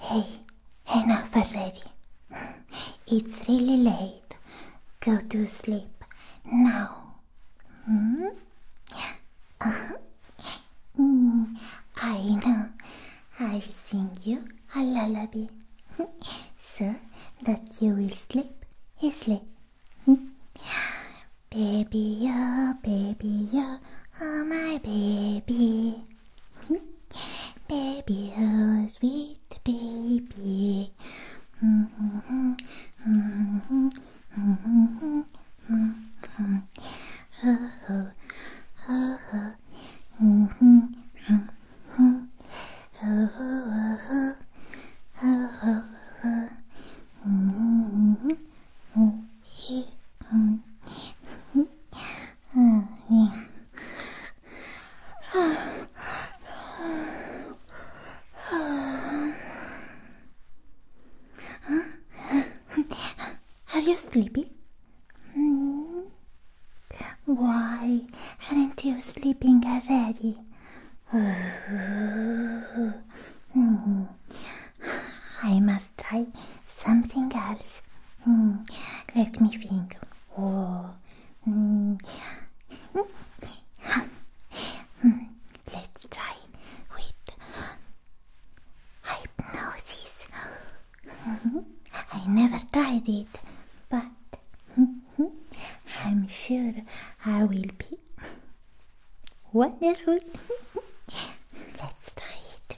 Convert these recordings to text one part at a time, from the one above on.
Hey, enough already. It's really late. Go to sleep now. Hmm? Uh-huh. hmm. I know. I'll sing you a lullaby so that you will sleep easily. Baby, oh, baby, oh, oh my baby baby, oh sweet baby. Mm. Are you sleepy? Mm. Why aren't you sleeping already? Mm. I must must try something else. Hmm, let me think. Oh. Hmm. Hmm, let's try with hypnosis. I never tried it, but I'm sure I will be wonderful. Let's try it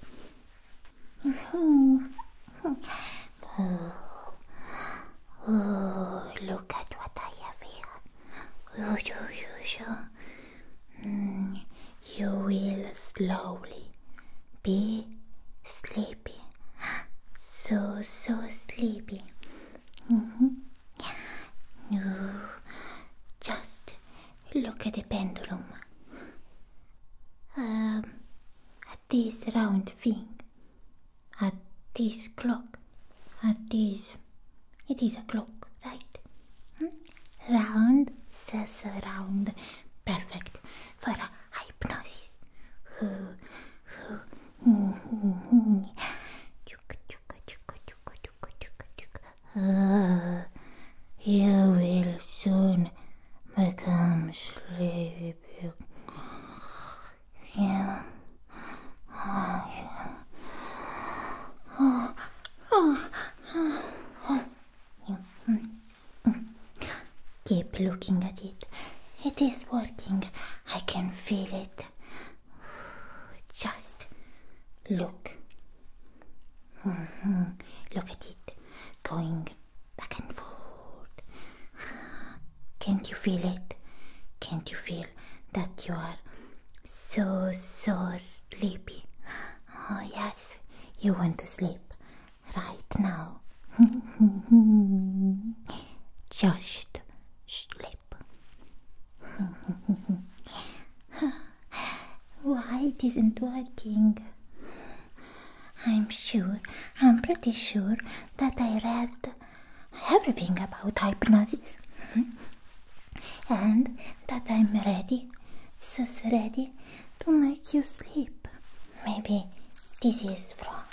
look at what I have here. you, you, you. Mm, you will slowly be sleepy. So, so sleepy. Mm mm-hmm. No, just Look at the pendulum. Um, at this round thing, at this clock, at this. It is a clock, right? Hmm? Round says round. Perfect for a hypnosis. Uh, you will soon become sleepy. Yeah. Oh, yeah. Oh, oh, oh, yeah. Keep looking at it. It is working. I can feel it. Just look. Mm-hmm. Look at it going back and forth. Can't you feel it? Can't you feel that you are so, so sleepy? Oh, yes, you want to sleep right now. Just sleep. Why it isn't working? I'm sure, I'm pretty sure that I read everything about hypnosis and that I'm ready, so ready to make you sleep. Maybe this is wrong.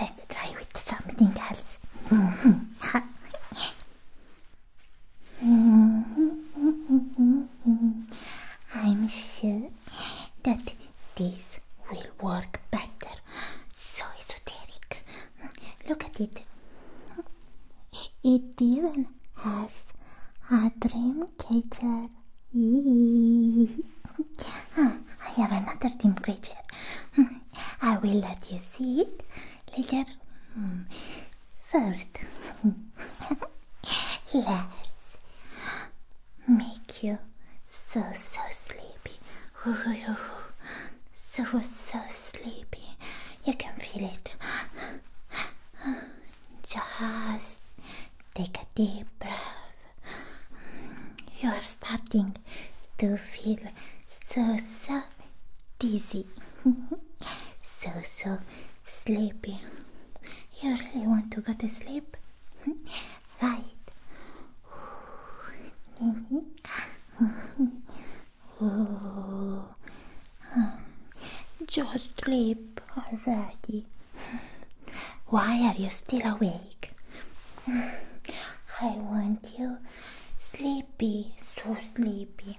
Let's try with something else. Mm-hmm. I'm sure that this will work better. So esoteric. Look at it. It even has a dream catcher. Ah, I have another dream creature. I will let you see it later. Hmm. First, let's make you so so sleepy. So so sleepy. You can feel it. Just take a deep breath. You are starting to feel so so dizzy. so so sleepy. You really want to go to sleep? right. Just sleep already. Why are you still awake? I want you sleepy, so sleepy.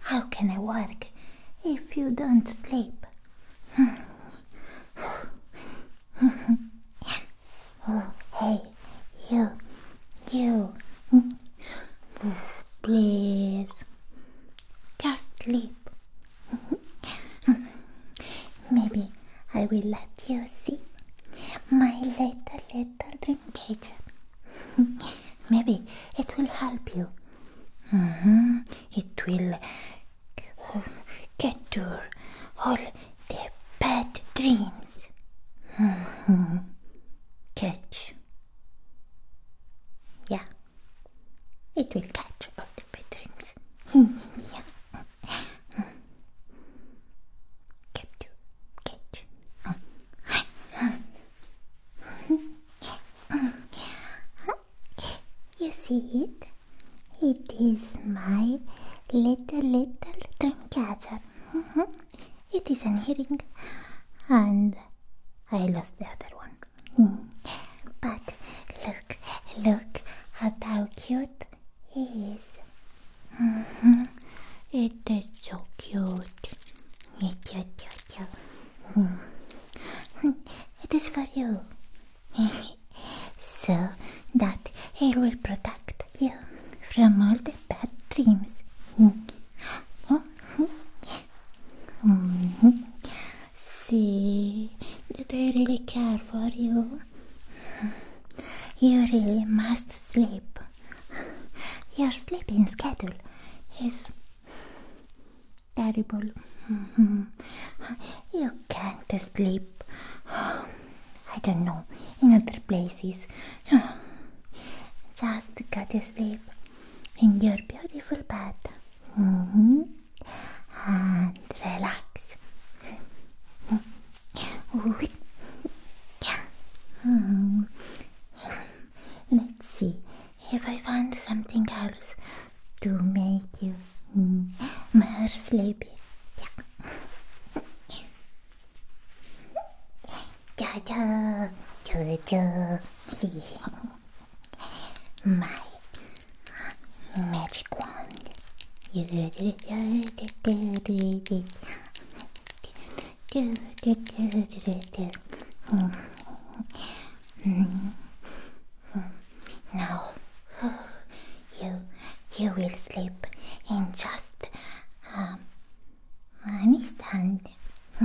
How can I work if you don't sleep? oh, hey, you, you, please, just sleep. Maybe I will let you see my little, little complicated. Maybe it will help you. Mm-hmm. It will catch all the bad dreams. Mm-hmm. Catch. Yeah. It will catch all the bad dreams. yeah capture cage. you see it? It is my little little dream mm-hmm. catcher. It is an earring, and I lost the other one. But look, look at how cute he is. Mm-hmm. It is so cute. Hmm. it is for you. so that it will protect you from all the bad dreams. Mm-hmm. See that I really care for you. You really must sleep. Your sleeping schedule is terrible. you can't sleep. I don't know, in other places. Just go to sleep in your beautiful bed mm-hmm. and relax. Let's see if I find something else to make you mm, more sleepy. Yeah. Jojo, Jojo, my magic wand. Now you you will sleep in just um, um,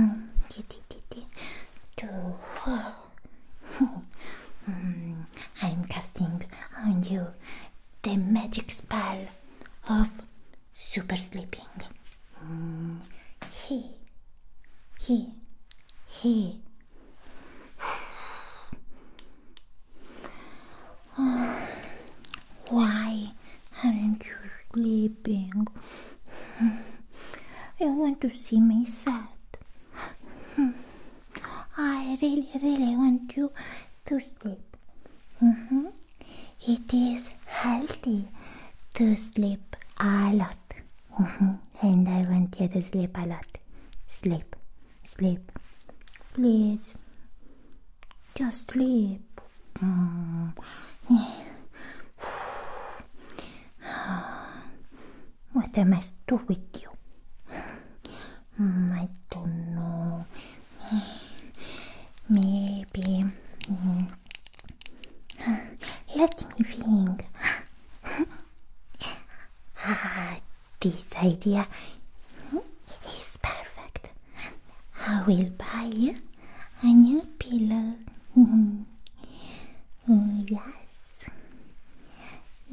um I'm casting on you the magic spell of super sleeping. Mm, he, he, he. why aren't you sleeping? You want to see me sad? I really, really want you to sleep. Mm -hmm it is healthy to sleep a lot. Mm-hmm. and I want you to sleep a lot. Sleep, sleep. Please, just sleep. Mm. what am I to do with you? Mm, I don't know. Maybe. Hmm. Let me think. Ah, this idea is perfect. I will buy you a new pillow. Mm, yes.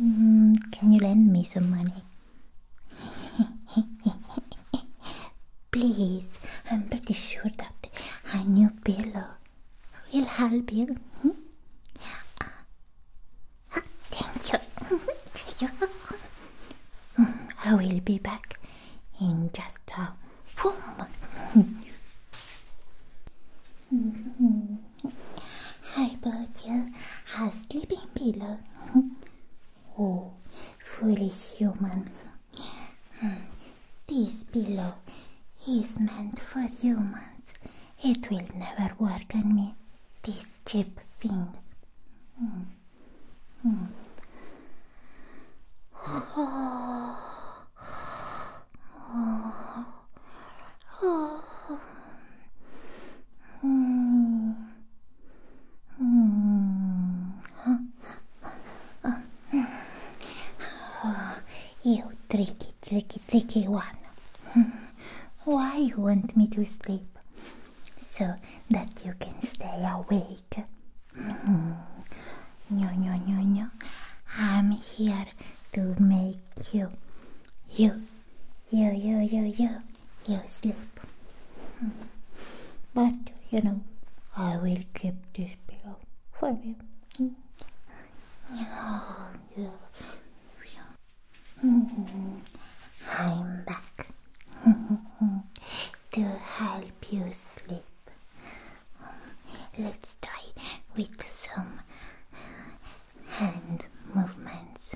Mm, can you lend me some money? Please, I'm pretty sure that a new pillow will help you. Hmm? Uh, thank you. Hmm, I will be back in just a moment. I bought you a sleeping pillow. Hmm? oh, foolish human. This pillow is meant for humans. It will never work on me. This cheap thing. you tricky, tricky, tricky one. Why you want me to sleep? So that you can stay awake. No, no, no, no. I'm here to make you, you, you, you, you, you sleep. But, you know, I will keep this pillow for you. Mm. Oh, I'm back to help you sleep. Let's try with some hand movements.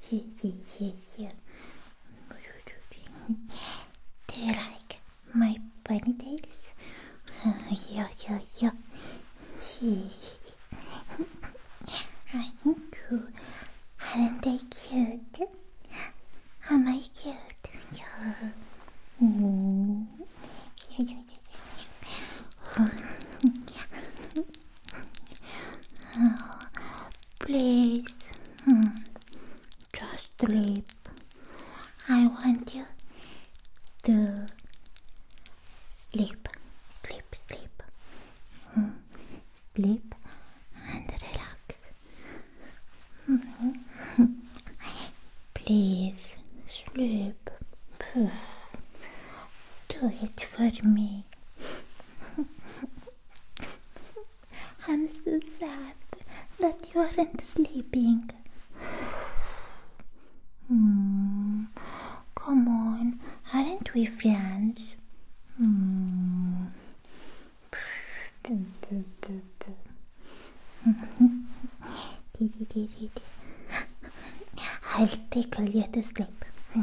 here, Do you like my ponytails? yeah, yeah, yeah. I'm cool. Aren't I cute? Am I cute? yeah please, hmm, just sleep. I want you to sleep, sleep, sleep, hmm, sleep and relax. Hmm, please sleep. Do it for me. I'm so sad that you aren't sleeping. Hmm. Come on, aren't we friends? Hmm. I'll take a little sleep. Hmm.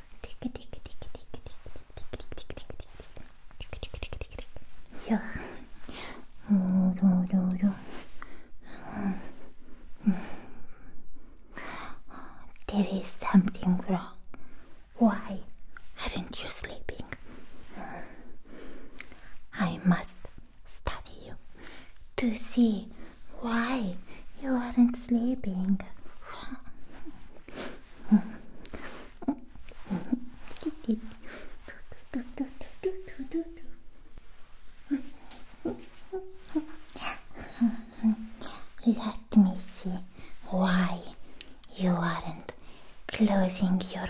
Yeah. There is something wrong. Why aren't you sleeping? I must study you to see why you aren't sleeping. Let me see why you aren't closing your eyes.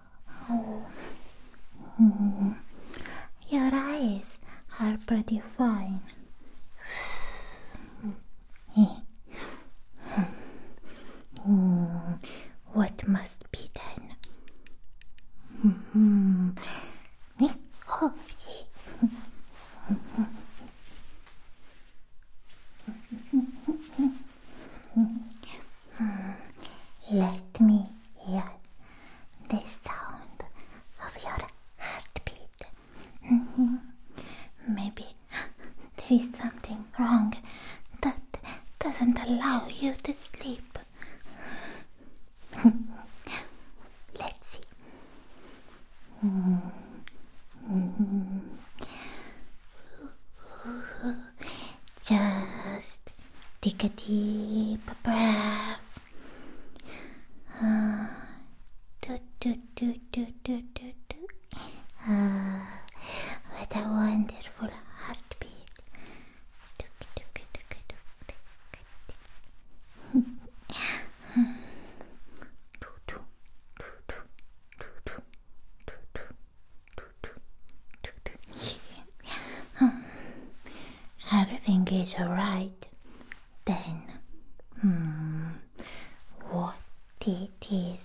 Oh. Your eyes are pretty fine. Hmm. What must be done? Hmm. Let me hear the sound of your heartbeat. Mm-hmm. Maybe there is something wrong that doesn't allow you to sleep. Let's see. Mm-hmm just take a deep breath. Uh, do, do, do, do, do, do, do. Uh, what a wonderful heartbeat. Everything is alright. Then, hmm, what it is?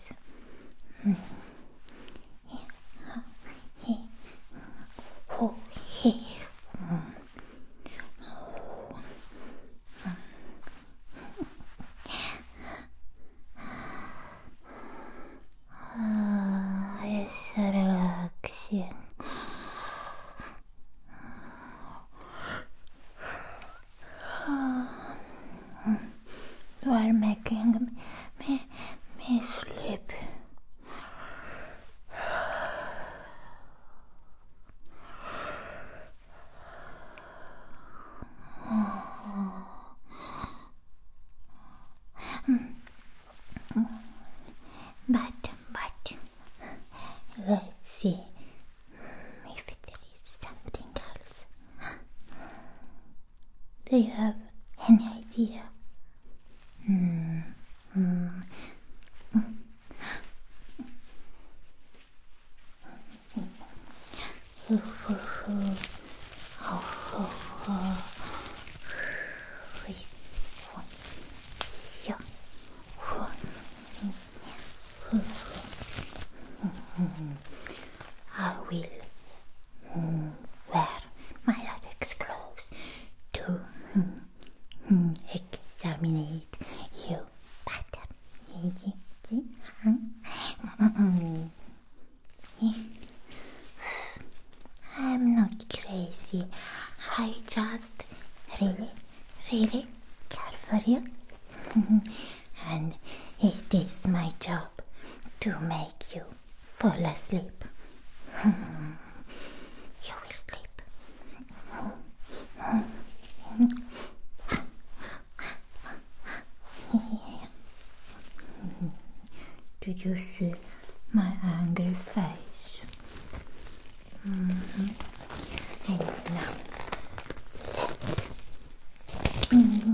Ah, essa relaxing. You are making me, me, me sleep. But, but, let's see if there is something else. Do you have any idea? Hmm. I will wear my latex gloves to examine you better. I'm not crazy. I just really, really care for you. and it is my job to make you fall asleep. you will sleep. Did you see my angry face? Mm -hmm. And -hmm. -hmm.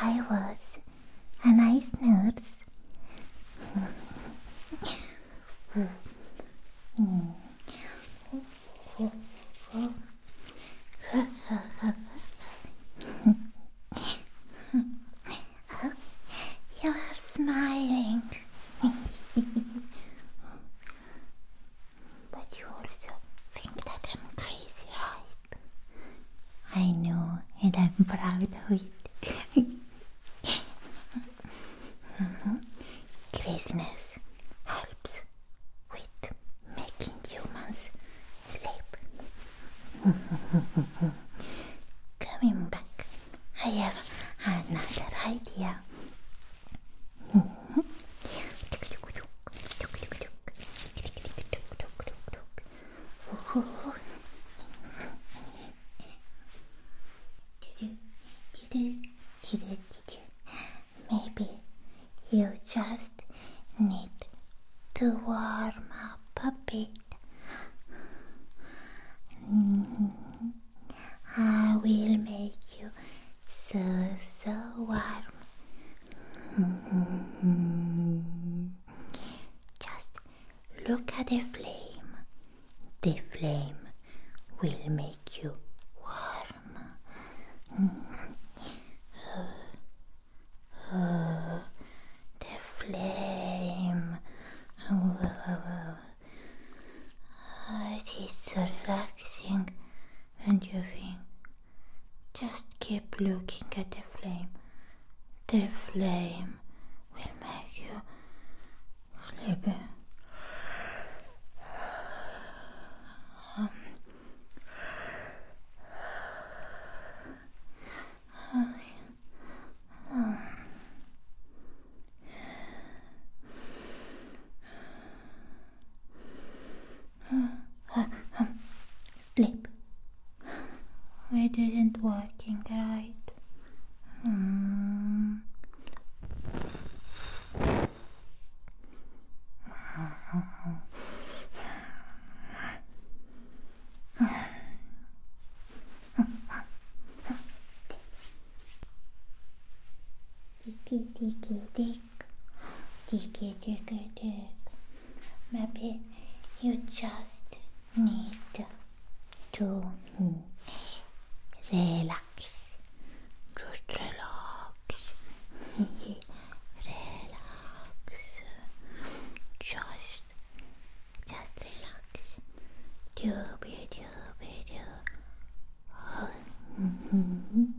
I was a nice nurse. you are smiling. But you also think that I'm crazy, right? I know, and I'm proud of it. mm helps with making humans sleep. Coming back, I have another idea. Maybe you just need to warm up a bit. Mm-hmm. I will make you so, so warm. Just look at the flame. The flame will make you warm. the flame. it is relaxing and you think, just keep looking at the flame. The flame will make you sleepy. Um, Sleep. It isn't working right. Mm think dig dig dig maybe you just need to relax just relax relax just just relax do be do be do oh. Mm-hmm.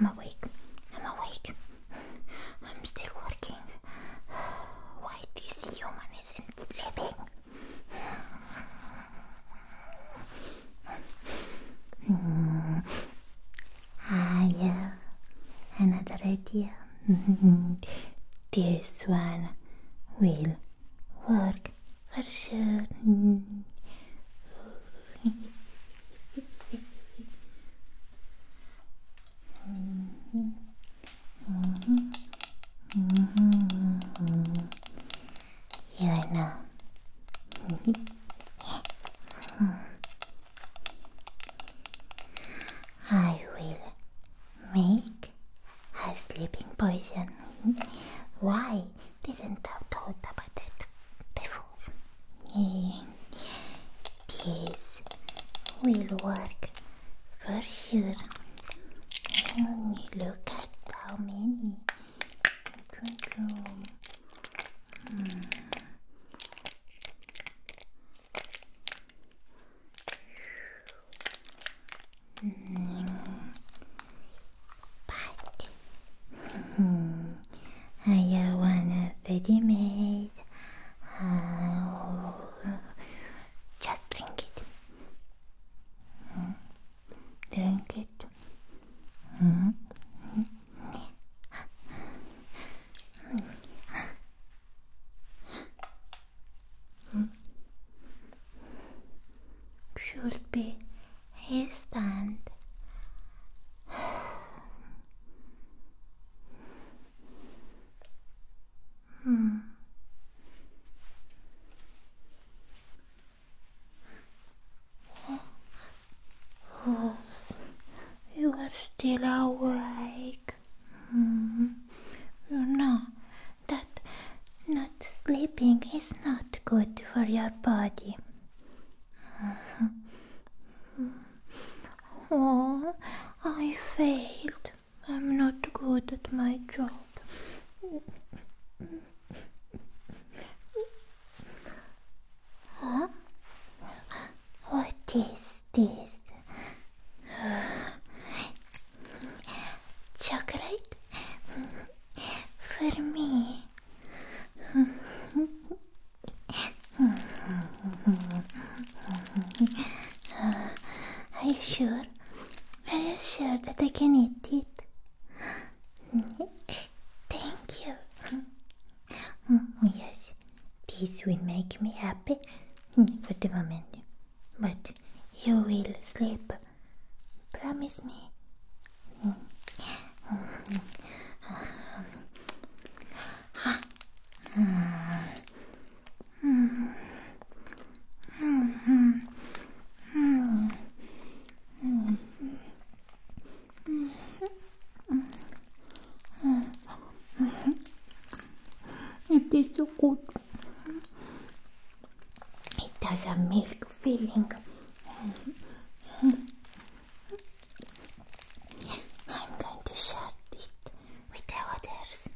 I'm awake. I'm awake. I'm still working. Why this human isn't sleeping? Mm. Ah, yeah, another idea. this one will work for sure. you know. I will make a sleeping potion. Why didn't I thought about it before? This will work for sure. Look at how many. Hmm. But hmm. I want a ready-made. Uh, just drink it. Hmm. Drink it. Hmm. Should be his hand. hmm you are still awake. Hmm. You know that not sleeping is not good for your body. oh, I failed. I'm not good at my job. Huh? What is this? Chocolate for me. Are you sure? Are you sure that I can eat it? Thank you. Oh, yes, this will make me happy for the moment. But you will sleep. Promise me. It is so good. It has a milk feeling. I'm going to share it with the others.